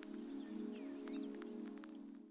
grazie di essere qui con me oggi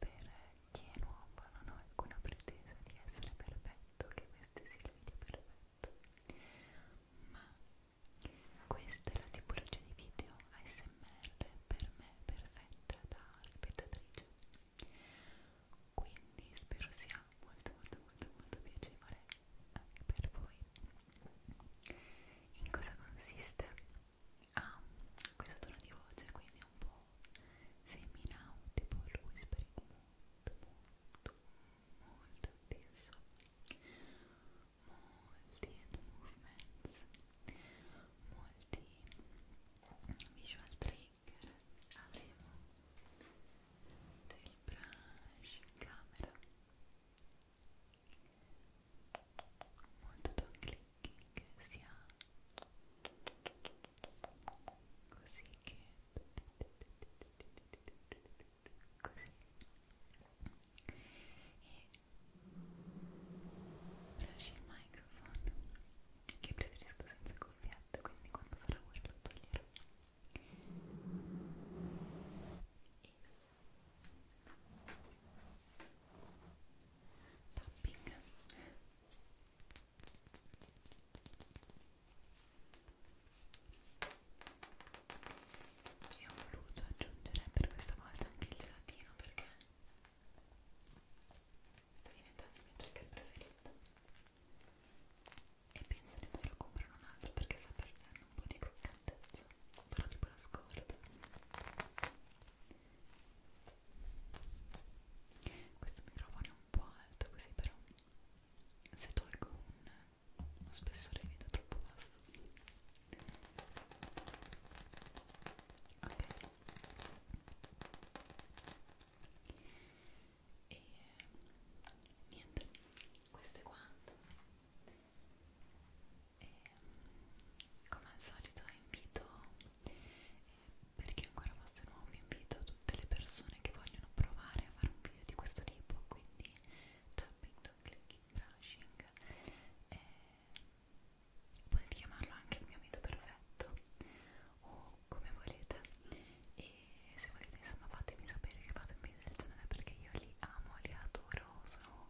per chi è nuovo non ho alcuna pretesa di essere perfetto, che questo sia il video perfetto, ma questa è la tipologia di video ASMR per me perfetta da spettatrice. Quindi spero sia molto molto molto molto piacevole anche per voi. In cosa consiste? ha ah, questo tono di voce quindi è un po' semi-nautico il whispering molto molto molto intenso molti hand movements molti visual trigger avremo del brush in camera molto tono click che sia così che così e lasci il microfono che preferisco senza cuffiette quindi quando sarà vuoto lo toglierò e tapping Ci ho voluto aggiungere per questa volta anche il gelatino perché sta diventando il mio trigger preferito e penso di doverlo comprare un altro perché sta perdendo un po' di croccantezza però tipo la scorta questo microfono è un po' alto così però se tolgo un, uno spessore vedo troppo basso ok e niente questo è quanto e come al solito invito perché ancora fosse nuovo invito tutte le persone che vogliono provare a fare un video di questo tipo quindi tapping, clicking, brushing e eh, potete chiamarlo anche il mio video perfetto o come volete e se volete insomma fatemi sapere che fate un video del genere perché io li amo, li adoro sono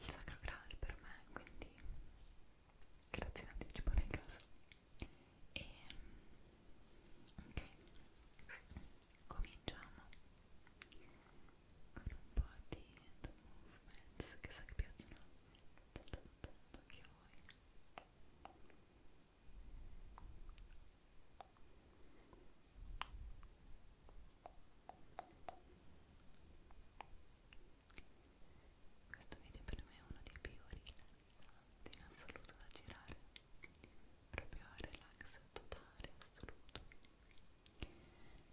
il sacro graal per me quindi grazie in anticipo nel caso e ok cominciamo con un po' di hand movements che so che piacciono tanto tanto tanto anche a voi ok questo video per me è uno dei più rilassanti in assoluto da girare, proprio relax totale, assoluto.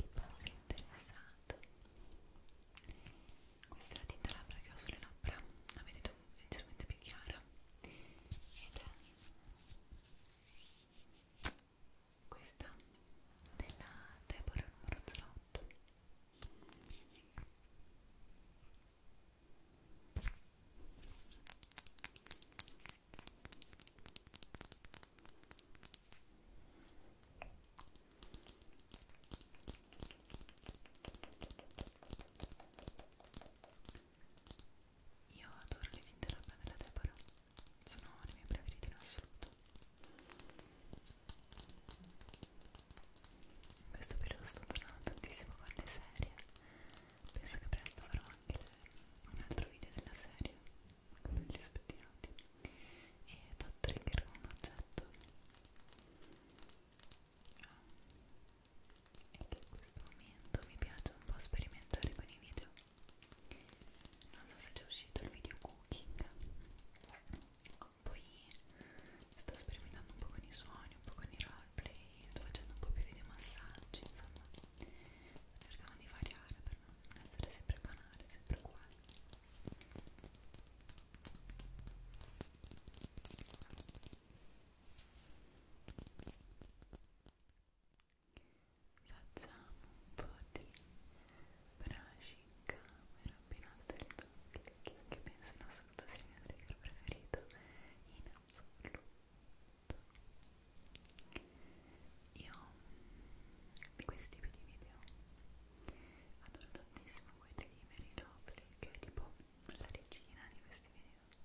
Il passo interessato. Questa è la tinta labbra che ho sulle labbra, la vedete leggermente più chiara. Ed è questa della Deborah numero 08 io adoro le tinte labbra della Deborah, sono le mie preferite in assoluto questo periodo sto tornando tantissimo con le serie penso che presto farò anche un altro video della serie con gli spettinati e do trigger con un oggetto e che in questo momento mi piace un po' sperimentare con i video non so se c'è uscito il video cooking poi sto sperimentando un po' con i suoni, un po' con i roleplay, sto facendo un po' più video massaggi, insomma sto cercando di variare per non essere sempre banale, sempre uguale Facciamo un po' di brushing amici in camera appena alzato il click che penso in assoluta sia il mio trigger preferito in assoluto io di questi tipi di video adoro tantissimo quelli di Mary Lovely che è tipo la regina di questi video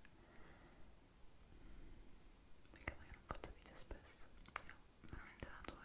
perché poi io non faccio video spesso io veramente la adoro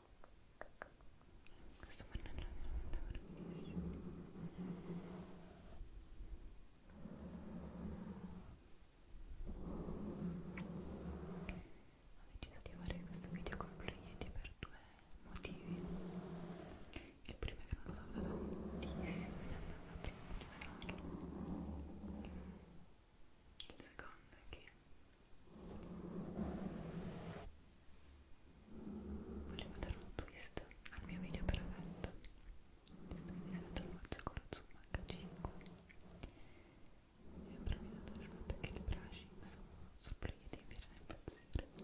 Questo pannello è veramente bellissimo. Ho deciso di fare questo video con Blue per due motivi. Il primo è che non lo so da tantissimo e ne andavo troppo di usarlo. Il secondo è che volevo dare un twist al mio video perfetto visto che di solito lo faccio con lo zoom H5 e ho provato il fatto che il brushing su, sul plugin mi piace impazzire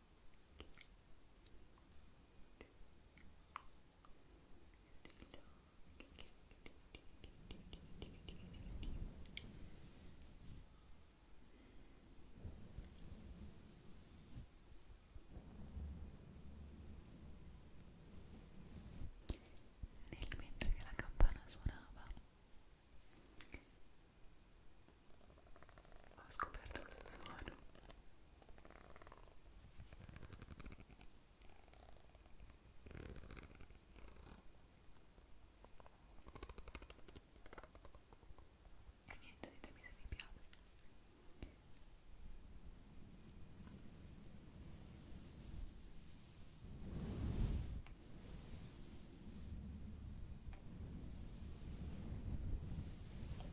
Nel mentre che la campana suonava ho scoperto questo suono e niente, ditemi se vi piace.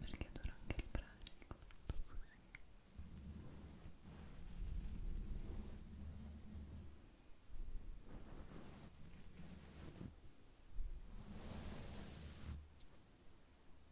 perché dura anche il pranzo Ecco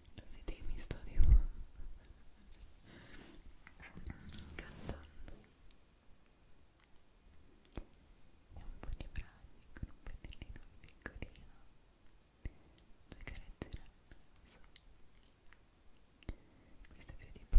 Lo vedete che mi sto tipo cantando e un po' di brani con un pennellino piccolino due carattere so. questo è più tipo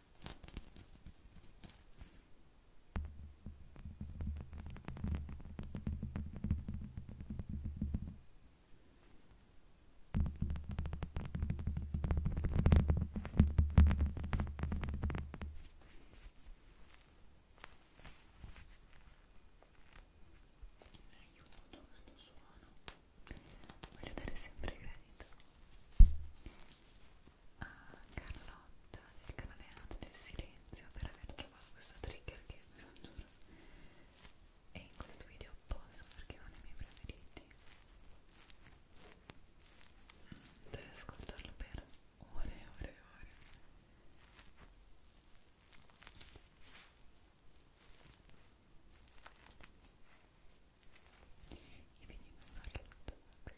aiuto questo suono voglio dare sempre credito a Carlotta del canale Arte del Silenzio per aver trovato questo trigger che ve lo giuro è in questo video apposta perché è uno dei miei preferiti mm, devo ascoltarlo per ore e ore e ore e venivo a farlo tutto così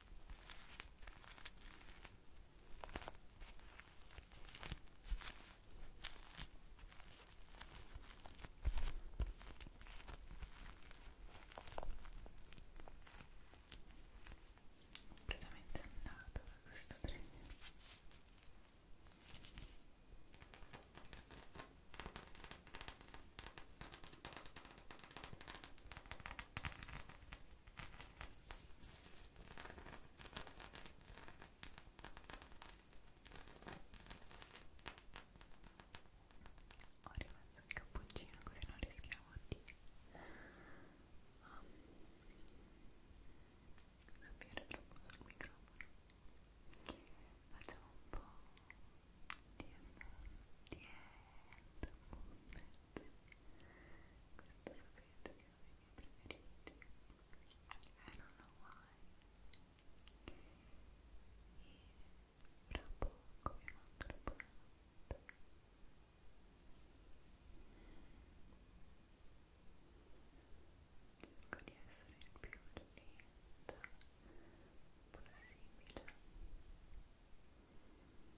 completamente andato da questo treno ho rimesso il cappuccino così non rischiamo di um, sapere troppo sul microfono. Facciamo un po' di, di end movement. Questo sapete I don't know why. E fra poco vi mando la buonanotte. Cerco di essere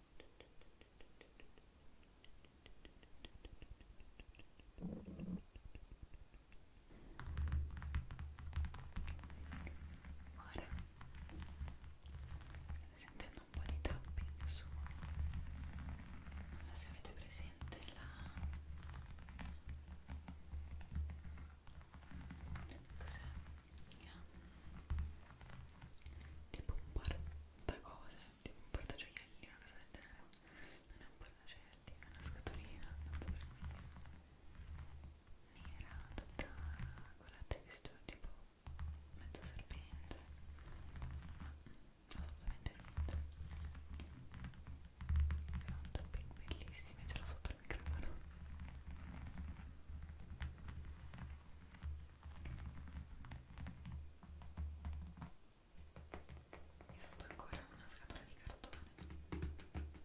Ora state sentendo un po' di tapping su non so se avete presente la cos'è? tipo un par da cose tipo un portaioielli, una cosa del genere non è un portaioielli, è una scatolina tanto per me nera, tutta con la texture tipo mezzo serpente ma assolutamente niente è un topping bellissimo, ce l'ho sotto il microfono e mi fatto ancora una scatola di cartone questa è più leggera ok